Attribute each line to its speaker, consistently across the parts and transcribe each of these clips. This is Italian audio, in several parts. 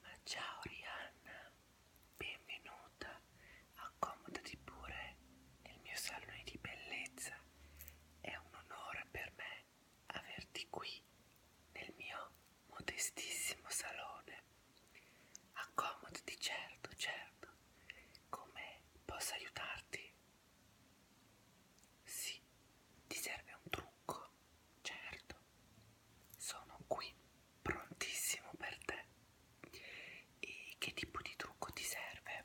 Speaker 1: Ma ciao Rihanna, benvenuta, accomodati pure nel mio salone di bellezza. È un onore per me averti qui nel mio modestissimo salone. Accomodati, certo, certo. Come posso aiutarti? Sì, ti serve un trucco certo, sono qui prontissimo per te. E che tipo di trucco ti serve?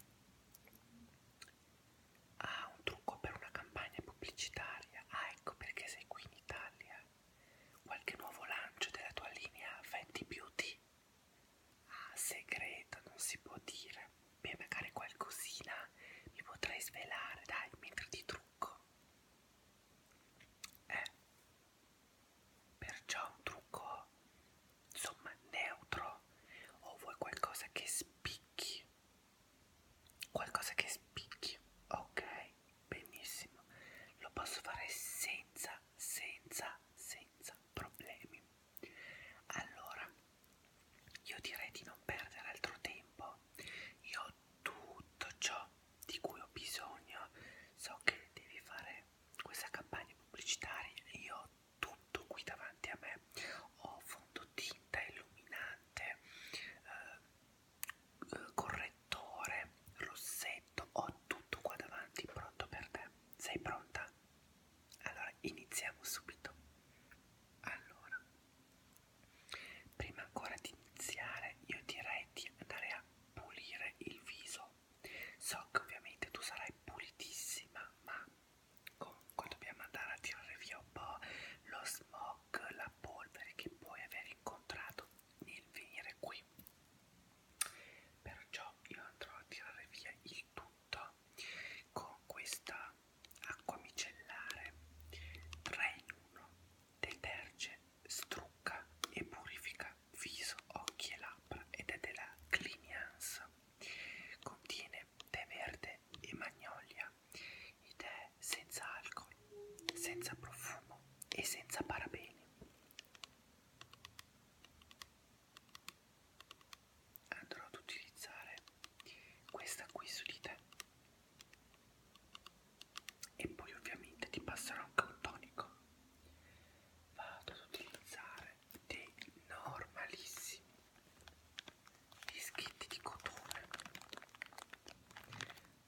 Speaker 1: Ah, un trucco per una campagna pubblicitaria. Ah, ecco perché sei qui in Italia. Qualche nuovo lancio della tua linea Fenty Beauty? Ah, segreto, non si può dire. Beh, magari qualcosina mi potrei svelare, dai, mentre ti trucco è eh, perciò un trucco insomma neutro o vuoi qualcosa che spicchi qualcosa che spicchi ok benissimo lo posso fare senza senza senza problemi allora io direi di non perdere altro tempo io ho tutto ciò di cui ho bisogno, so che devi fare questa campagna pubblicitaria, io ho tutto qui davanti a me, ho fondotinta illuminante, eh, eh, correttore, rossetto, ho tutto qua davanti pronto per te, sei pronta? Allora iniziamo subito. Allora, Prima ancora di iniziare, io direi di andare a pulire il viso. So che ovviamente tu sarai pulitissima, ma comunque dobbiamo andare a tirare via un po' lo smog, la polvere che puoi aver incontrato nel venire qui. Perciò io andrò a tirare via il tutto con questa acqua micellare 3 in 1 deterge, strucca e purifica viso, occhi e labbra ed è della Clinians. Contiene tè verde e magnolia, i tè senza alcol, senza profumo e senza parabeni. Andrò ad utilizzare questa qui su di te e poi ovviamente ti passerò anche un tonico vado ad utilizzare dei normalissimi dischetti di cotone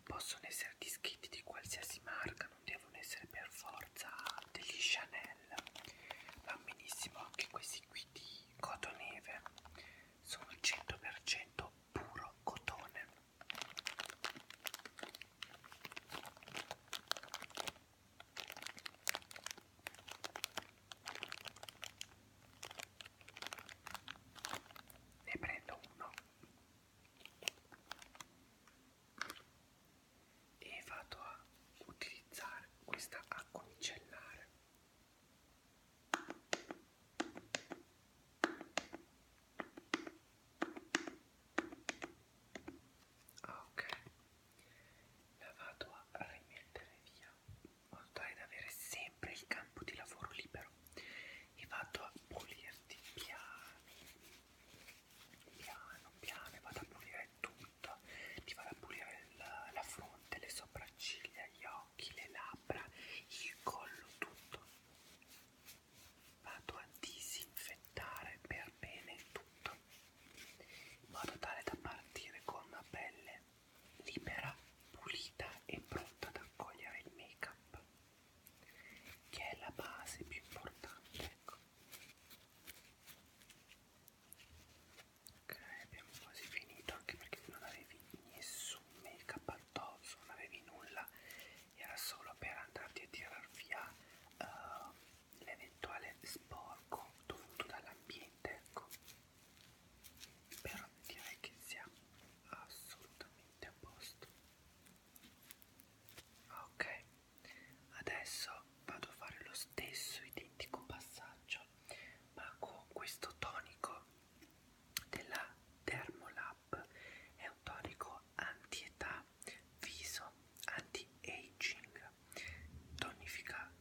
Speaker 1: possono essere dischetti di qualsiasi marca non devono essere per forza degli Chanel va benissimo anche questi qui di cotoneve sono 100% puro cotone ne prendo uno e vado a utilizzare questa acqua micellare Ah, ok, la vado a rimettere via in modo tale da avere sempre il campo di lavoro libero e vado a pulirti piano, piano, piano e vado a pulire tutto, ti vado a pulire la, la fronte, le sopracciglia, gli occhi, le labbra, il collo, tutto vado a disinfettare per bene tutto in modo tale da partire con una pelle libera, pulita e pronta ad accogliere il make up che è la base più importante ecco. ok abbiamo quasi finito anche perché non avevi nessun make up tozzo, non avevi nulla, era solo per andarti a tirar via uh, l'eventuale sporco dovuto dall'ambiente, ecco. Però direi che siamo assolutamente a posto. Ok, adesso vado a fare lo stesso identico passaggio ma con questo tonico della Dermolab Up è un tonico anti-età, viso, anti-aging, tonifica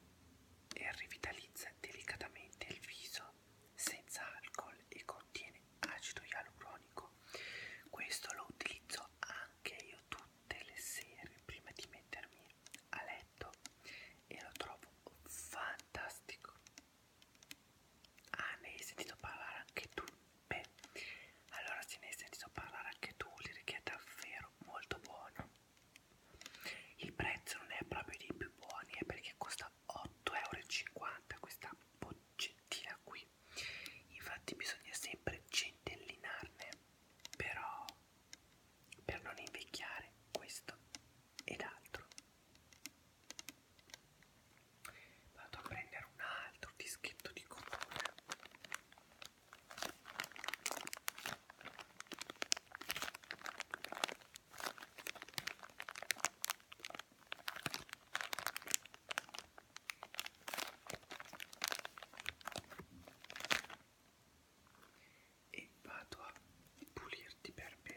Speaker 1: e rivitalizza delicatamente il viso senza alcol e contiene acido ialuronico. Questo lo utilizzo anche io tutte le sere prima di mettermi a letto e lo trovo fantastico. Ah, ne hai sentito parlare anche tu? Beh, allora se ne hai sentito parlare anche tu, l'irichi è davvero molto buono. Il prezzo non è proprio dei più buoni, è perché costa 8,50 euro questa boccettina qui. Infatti bisogna sempre centellinarne, però per non invecchiare questo ed altro. Vado a prendere un altro dischetto di colore. E vado a pulirti per bene.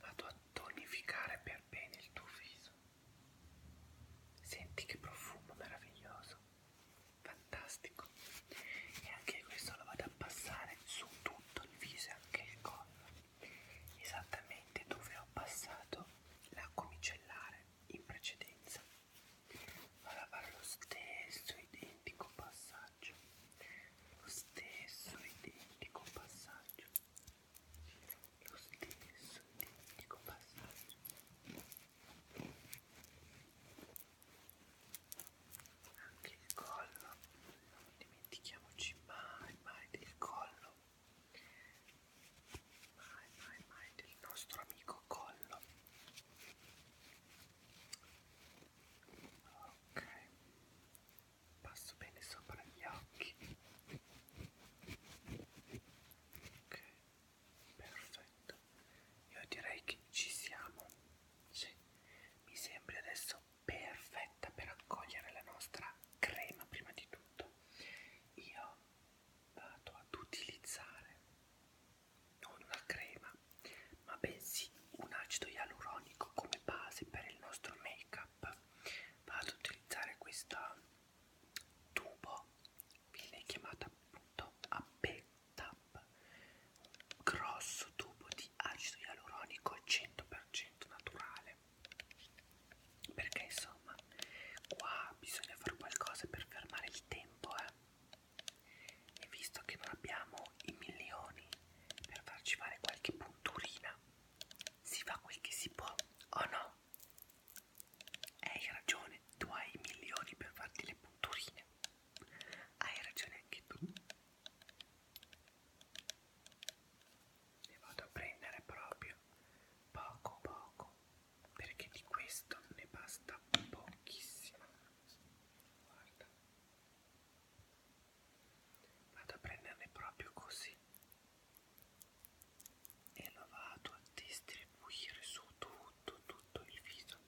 Speaker 1: Vado a tonificare per bene il tuo viso. Senti che profumo meraviglioso, fantastico. E anche questo lo vado a passare su tutto il viso e anche il collo, esattamente dove ho passato la micellare in precedenza vado a fare lo stesso identico passaggio lo stesso identico passaggio lo stesso identico passaggio anche il collo non dimentichiamoci mai mai del collo mai mai mai del nostro amico collo ok passo bene sopra gli occhi ok perfetto io direi che ci siamo sì. mi sembra adesso perfetta per accogliere la nostra crema prima di tutto io vado ad utilizzare non una crema ma bensì un acido ialuronico come base per il nostro make up vado ad utilizzare questa tubo viene chiamata appunto AP Tap grosso tubo di acido ialuronico 100% naturale perché so insomma qua bisogna fare qualcosa per fermare il tempo eh. e visto che non abbiamo i milioni per farci fare qualche punturina si fa quel che si può o no? Hai ragione, tu hai i milioni per farti le punturine. Hai ragione anche tu. Le vado a prendere proprio poco poco perché di questo ne basta pochissimo. Guarda. Vado a prenderne proprio così e lo vado a distribuire su tutto, tutto il viso,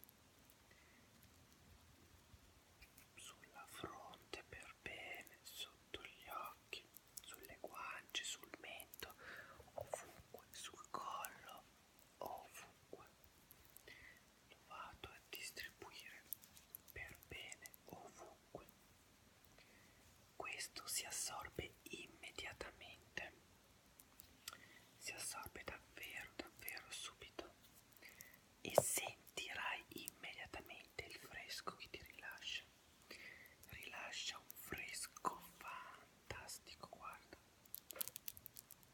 Speaker 1: sulla fronte per bene, sotto gli occhi, sulle guance, sul mento, ovunque ovunque, sul collo, ovunque. Lo vado a distribuire per bene ovunque. Questo si assorbe immediatamente. Si assorbe davvero, davvero subito. E sentirai immediatamente il fresco che ti rilascia. Rilascia un fresco fantastico, guarda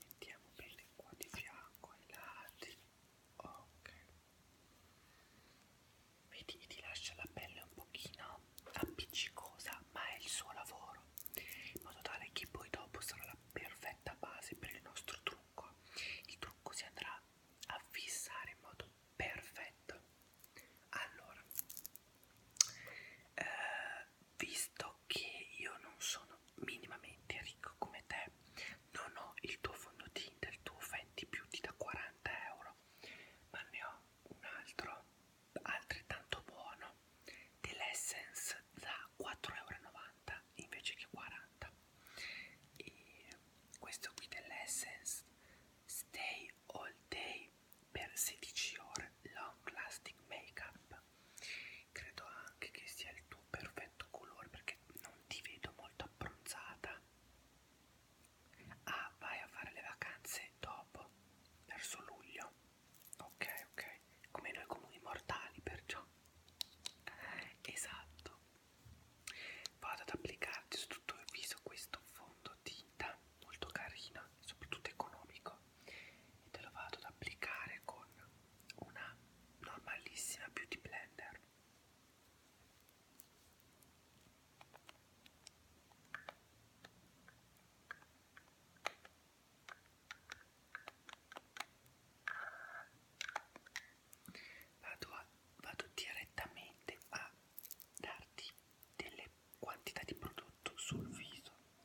Speaker 1: mettiamo bene qua di fianco ai lati ok vedi ti lascia la pelle un pochino appiccicosa ma è il suo lavoro in modo tale che poi dopo sarà la perfetta base per il nostro trucco il trucco si andrà a fissare in modo perfetto allora eh, visto che io non sono minimamente ricco come te, non ho il tuo fondo Tinder, il tuo Fenty Beauty da 40 euro, ma ne ho un altro altrettanto buono dell'Essence da 4,90 euro invece che 40 e questo qui dell'Essence Stay All Day per 16 ore long lasting makeup credo anche che sia il tuo perfetto colore perché non ti vedo molto abbronzata ah vai a fare le vacanze dopo verso luglio ok ok come noi comuni mortali perciò esatto vado ad applicarti su tutto il viso questo fondotinta molto carino e soprattutto economico e te lo vado ad applicare con una normalissima beauty blender Vado, a, vado direttamente a darti delle quantità di prodotto sul viso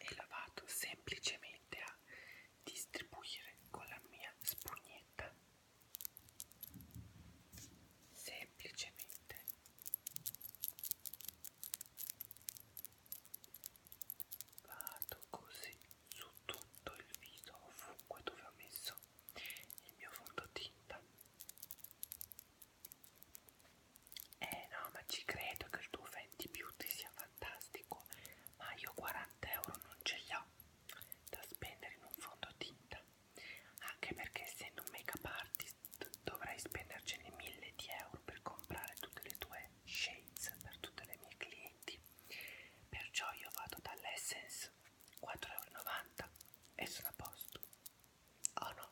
Speaker 1: e la vado semplicemente a distribuire con la mia spugnetta semplicemente vado così su tutto il viso ovunque dove ho messo il mio fondotinta eh no ma ci credo che il tuo Fenty Beauty sia fantastico, ma io 40 euro non ce li ho da spendere in un fondotinta, anche perché essendo un make-up artist dovrei spendercene mille di euro per comprare tutte le tue shades per tutte le mie clienti. Perciò io vado dall'Essence 4,90 euro e sono a posto. Oh no,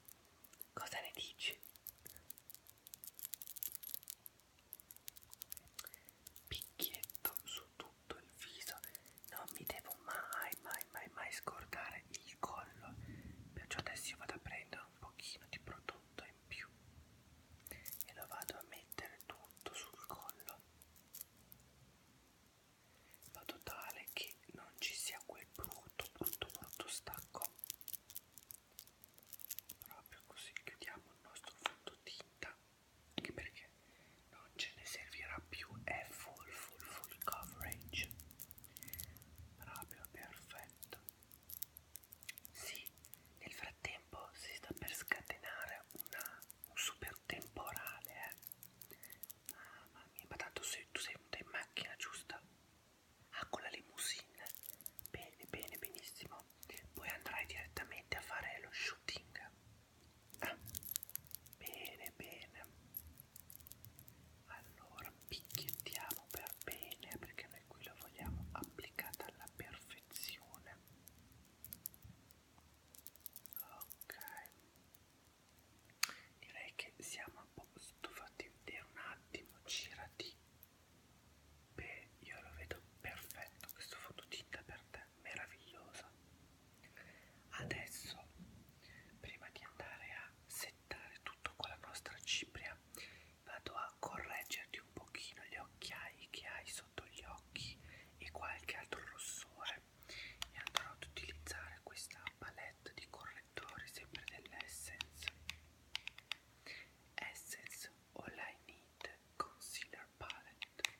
Speaker 1: cosa ne dici? Picchietto su tutto il viso. Non mi devo mai, mai, mai, mai scordare il collo. Perciò adesso io vado a prendere un pochino di prodotto in più e lo vado a mettere tutto sul collo. Vado tale che non ci sia quel brutto, brutto, brutto stacco proprio così chiudiamo il nostro fondotinta anche perché non ce ne servirà più è full full full coverage proprio perfetto sì nel frattempo si sta per scatenare una, un super temporale eh. mamma mia ma tanto sei, tu sei venuta in macchina giusta? Ah, con la limousine. Bene, bene, benissimo video poi andrai direttamente a fare lo shooting ah, bene bene allora picchiettiamo per bene perché noi qui lo vogliamo applicata alla perfezione ok direi che siamo un po' stufati vedere un attimo girati Beh, io lo vedo perfetto questo fototinta per te, meraviglioso. Adesso, prima di andare a settare tutto con la nostra cipria, vado a correggerti un pochino gli occhiai che hai sotto gli occhi e qualche altro rossore e andrò ad utilizzare questa palette di correttori sempre dell'Essence Essence All I Need Concealer Palette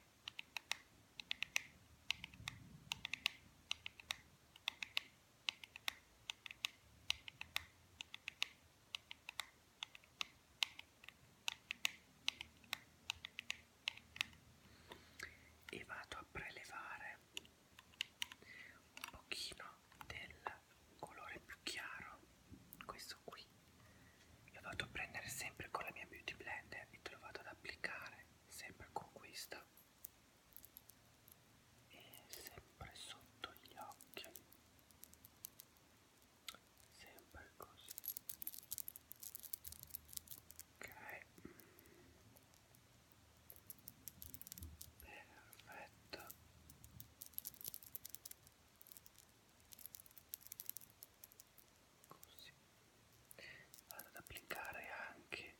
Speaker 1: e vado a prelevare un pochino del viola, un colore più chiaro, questo qui. Lo vado a prendere sempre con la mia Beauty Blender e te lo vado ad applicare sempre con questa e sempre sotto gli occhi sempre così ok perfetto così vado ad applicare anche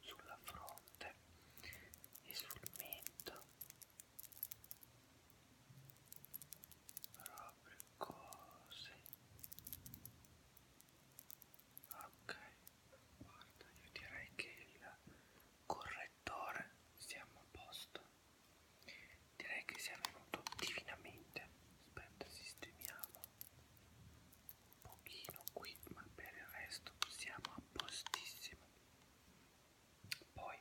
Speaker 1: sulla fronte e sul mento proprio così ok guarda io direi che il correttore siamo a posto Direi che sia venuto divinamente. Aspetta, sistemiamo un pochino qui, ma per il resto siamo a postissimo. Poi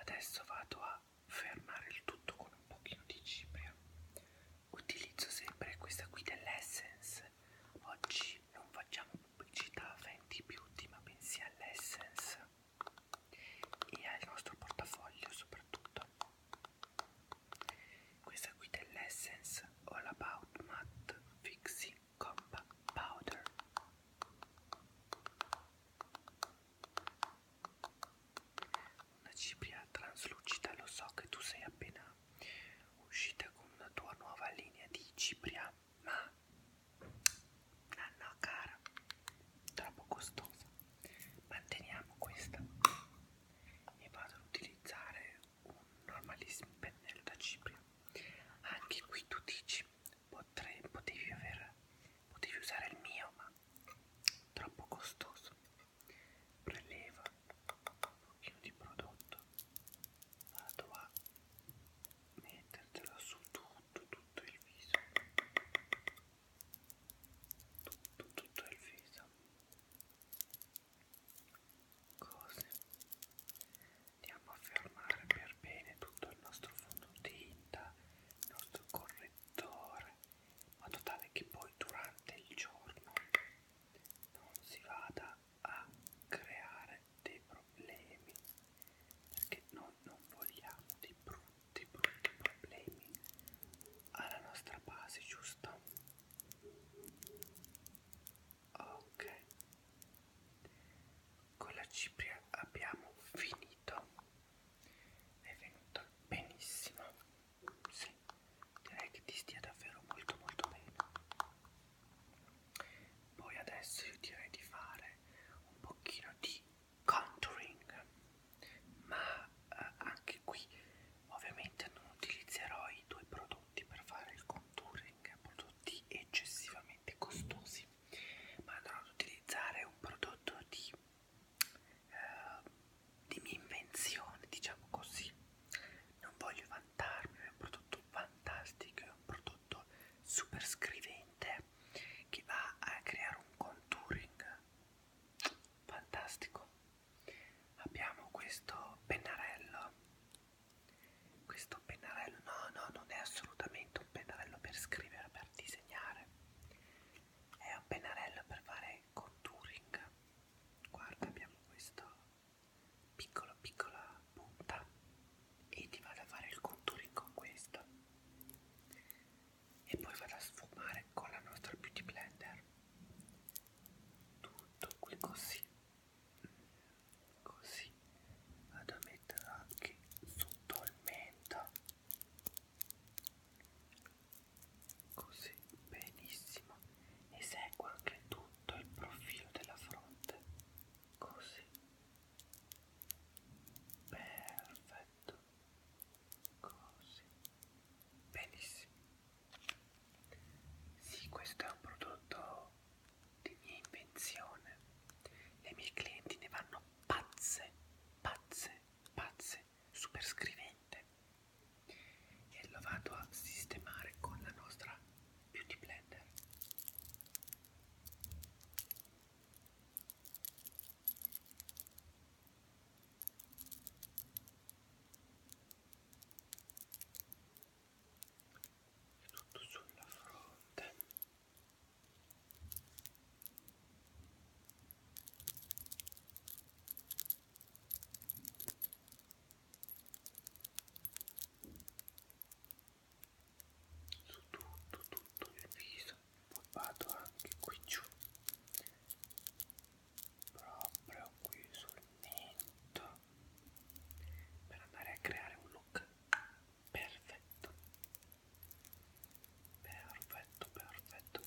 Speaker 1: adesso vado a fermare il tutto con un pochino di cipria. Utilizzo sempre questa qui dell'Essence. Oggi non facciamo pubblicità a Fenty Beauty, ma bensì all'Essence e al nostro portafoglio soprattutto questa qui dell'Essence All About Matte Fixing Compact Powder una cipria traslucida lo so che tu sei appena uscita con una tua nuova linea di cipria ma Nanna cara, troppo costosa. Manteniamo questa e vado ad utilizzare un normalissimo pennello da cipria. Anche qui tu dici potrei, potevi, aver, potevi usare il mio, ma troppo costoso. Preleva un pochino di prodotto, vado a mettertelo su tu sotto tutto il viso tutto tutto il viso così andiamo a fermare per bene tutto il nostro fondotinta il nostro correttore in modo tale che poi durante il giorno non si vada a creare dei problemi problemi perché noi non vogliamo dei brutti brutti problemi alla nostra base giusto ok con la cipria abbiamo finito è venuta benissimo sì direi che ti stia davvero molto molto bene poi adesso io direi di fare un pochino di contouring ma eh, anche qui ovviamente non utilizzerò i due prodotti per fare il contouring prodotti eccessivamente costosi ma andrò ad utilizzare un prodotto di, eh, di mia invenzione diciamo così non voglio vantarmi è un prodotto fantastico è un prodotto prodotto super scrivente che va a creare un contouring fantastico abbiamo questo pennarello questo pennarello no no non è assolutamente un pennarello per scrivere per disegnare è un pennarello per fare contouring guarda abbiamo questo piccolo piccola punta e ti vado a fare il contouring con questo e poi vado a sfumare con la nostra beauty blender tutto qui così mm, così vado a mettere anche sotto il mento così benissimo e seguo anche tutto il profilo della fronte così perfetto così benissimo sì questo è un prodotto di mia invenzione le mie clienti ne vanno pazze pazze pazze super scrivente e lo vado a sistemare con la nostra beauty blender e tutto sulla fronte su tutto tutto il viso poi vado anche qui giù proprio qui sul mento per andare a creare un look perfetto perfetto perfetto perfetto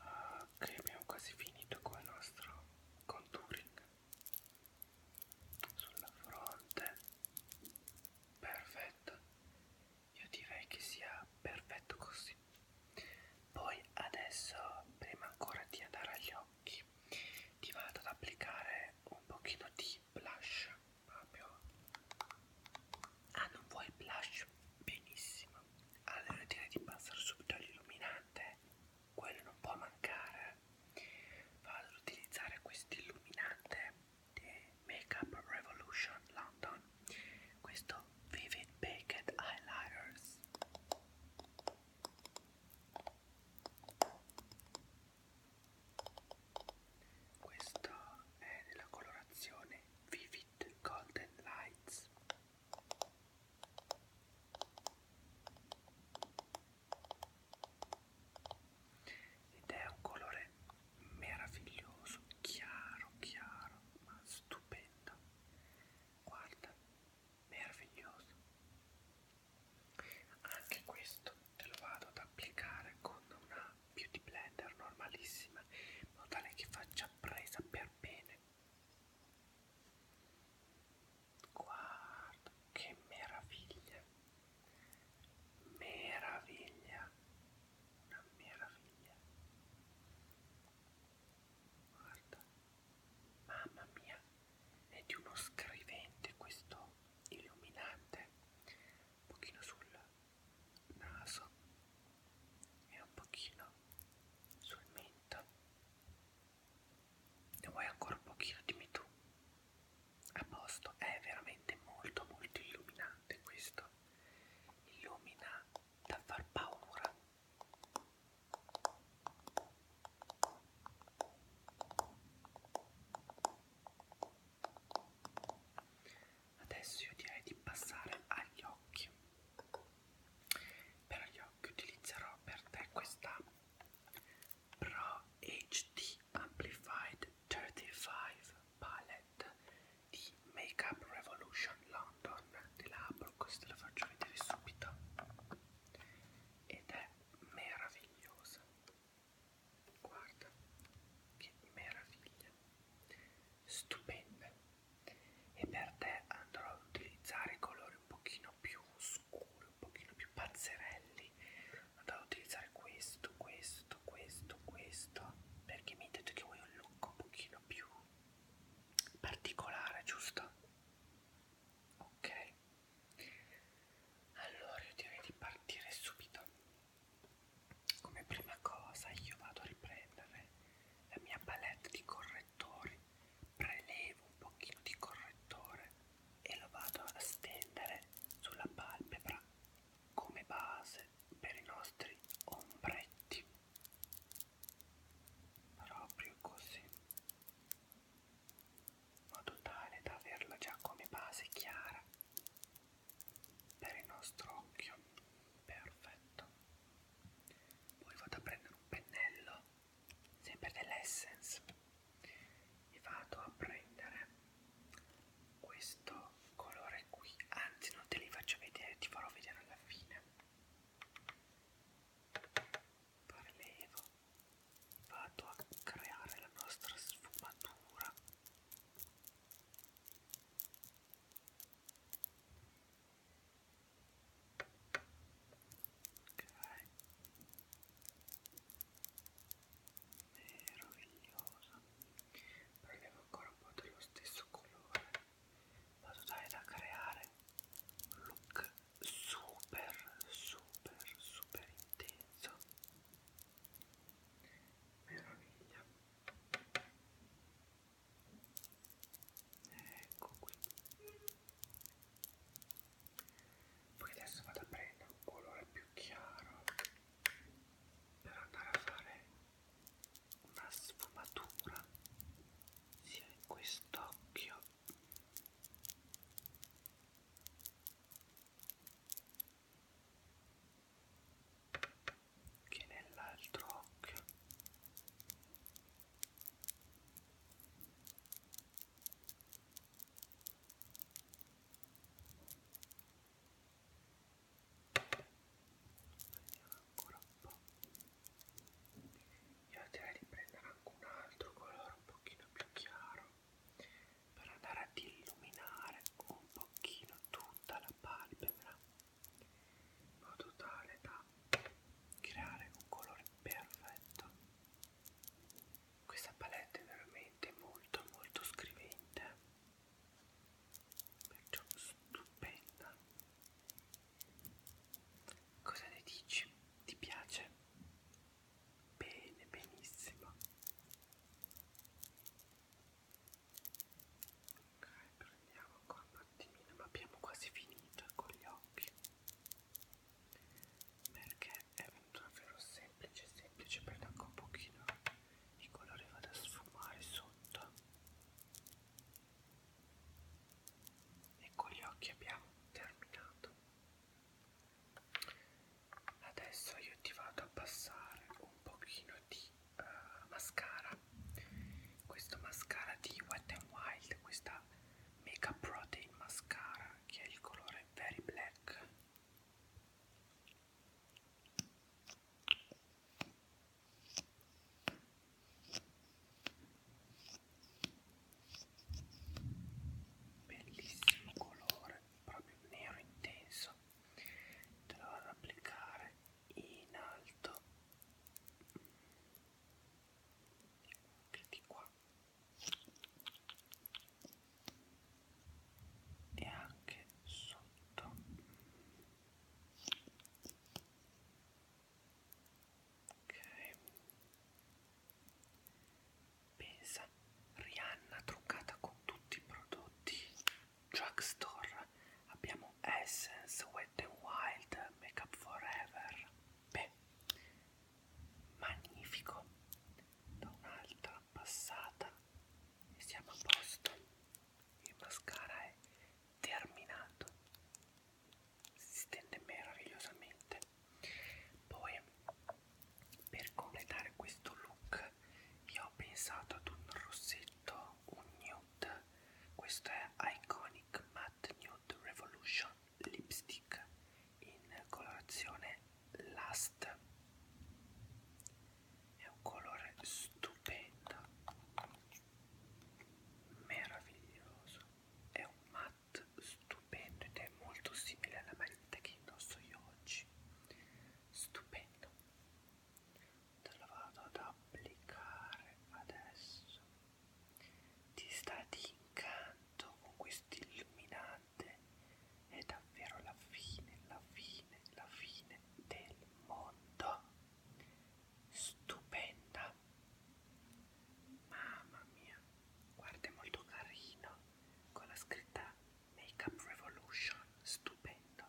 Speaker 1: ok ah, abbiamo quasi finito con il nostro contouring sulla fronte perfetto io direi che sia perfetto così poi adesso prima ancora di andare agli occhi ti vado ad applicare un pochino di blush proprio ah non vuoi blush benissimo allora direi di passare subito all'illuminante quello non può mancare. Vado ad utilizzare questo illuminante di Makeup Revolution London, questo Vivid Baked Highlighters. Questo è della colorazione Vivid Golden Lights ed è un colore meraviglioso, chiaro, chiaro, ma stupendo. Guarda, meraviglioso. Anche questo te lo vado ad applicare con una beauty blender normalissima, in modo tale che faccia presa per bene. Guarda che meraviglia, meraviglia, una meraviglia. Guarda, mamma mia, è di uno scrivente questo illuminante, un pochino sul naso e un pochino sul mento ne vuoi ancora un pochino, dimmi tu. A posto, è veramente molto molto illuminante questo. Illumina da far paura. Adesso io direi di passare agli occhi. Per gli occhi utilizzerò per te questa Pro HD Amplified 35 Palette di Makeup Revolution London della Apple, questa la faccio vedere subito ed è meravigliosa guarda che meraviglia stupenda e per te andrò ad utilizzare colori un pochino più scuri un pochino più pazzerelli andrò ad utilizzare questo, questo, questo, questo perché mi hai detto che vuoi un look un pochino più particolare, giusto? Ok allora io direi di partire subito come prima cosa io vado a riprendere la mia palette di correttori prelevo un pochino di correttore e lo vado a stendere sulla palpebra come base per i nostri ombretti proprio così in modo tale da averla già come base chiara per il nostro occhio perfetto poi vado a prendere un pennello sempre dell'essence e vado a prendere questo colore qui anzi non te li faccio vedere ti farò vedere alla fine parlevo vado a creare la nostra sfumatura ok è rovigliosa prendiamo ancora un po' dello stesso colore in modo tale da creare un look super super super intenso meraviglia ecco qui poi adesso vado a prendere un colore più chiaro per andare a fare una sfumatura sia in quest'occhio che nell'altro occhio Prendiamo ancora un po'. Io direi di prendere anche un altro colore un pochino più chiaro per andare ad illuminare un pochino tutta la palpebra in modo tale da creare un colore perfetto questa palette è veramente molto molto scrivente, perciò stupenda. Cosa ne dici? Ti piace? Bene, benissimo. Ok, prendiamo qua un attimino, ma abbiamo quasi finito con gli occhi perché è un raffreddo semplice semplice perché anche un pochino il colore vada a sfumare sotto e con gli occhi abbiamo terminato adesso io ti vado a passare un pochino di uh, mascara questo mascara di Wet n Wild questa Makeup Protein Mascara che è il colore Very Black bellissimo colore proprio nero intenso te lo vado ad applicare in alto anche di qua e anche sotto ok pensa Rihanna truccata con tutti i prodotti drugstore abbiamo Essence Wet n Wild Makeup Forever beh magnifico da un'altra passata e siamo a posto il mascara è terminato si stende meravigliosamente poi per completare questo look io ho pensato ad un rossetto un nude questo è Iconic Matte Nude Revolution lipstick in colorazione Last è un colore stupendo meraviglioso è un matte stupendo ed è molto simile alla maglietta che indosso io oggi stupendo te lo vado ad applicare adesso ti sta di incanto con questo sterminante è davvero la fine, la fine, la fine del mondo. Stupenda. Mamma mia, guarda è molto carino con la scritta Makeup Revolution, stupendo.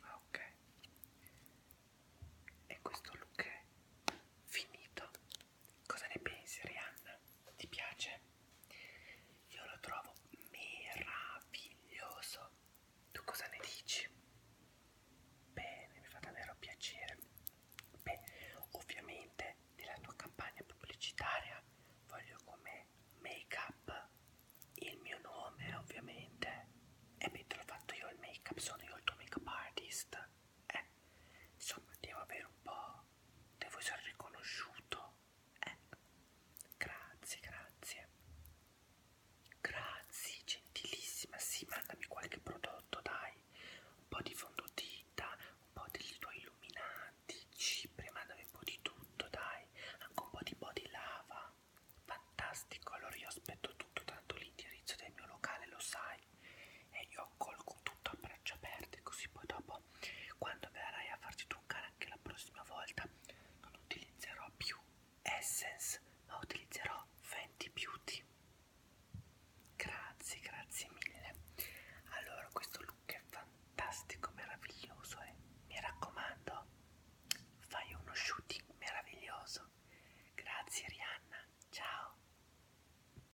Speaker 1: Ah, ok. E questo look è finito. Cosa ne pensi Rihanna? Ti piace? Io lo trovo meraviglioso. Tu cosa ne dici? Bene, mi fa davvero piacere. Beh, ovviamente nella tua campagna pubblicitaria voglio come make up il mio nome, ovviamente. E mentre l'ho fatto io il make up, sono io il tuo make up artist. Eh, insomma, devo avere un po' devo essere riconosciuto. Eh, grazie, grazie. Grazie, gentilissima. Sì, mandami qualche prodotto, dai. Un po' di fondotinta, un po' degli tuoi illuminanti, cipri, mandami un po' di tutto, dai. Anche un po' di body lava. Fantastico, allora io aspetto tutto, tanto l'indirizzo del mio locale lo sai, e io colgo tutto a braccia aperte così poi dopo quando verrai a farti truccare anche la prossima volta non utilizzerò più Essence ma utilizzerò Fenty Beauty grazie grazie mille allora questo look è fantastico meraviglioso e eh? mi raccomando fai uno shooting meraviglioso grazie Rihanna ciao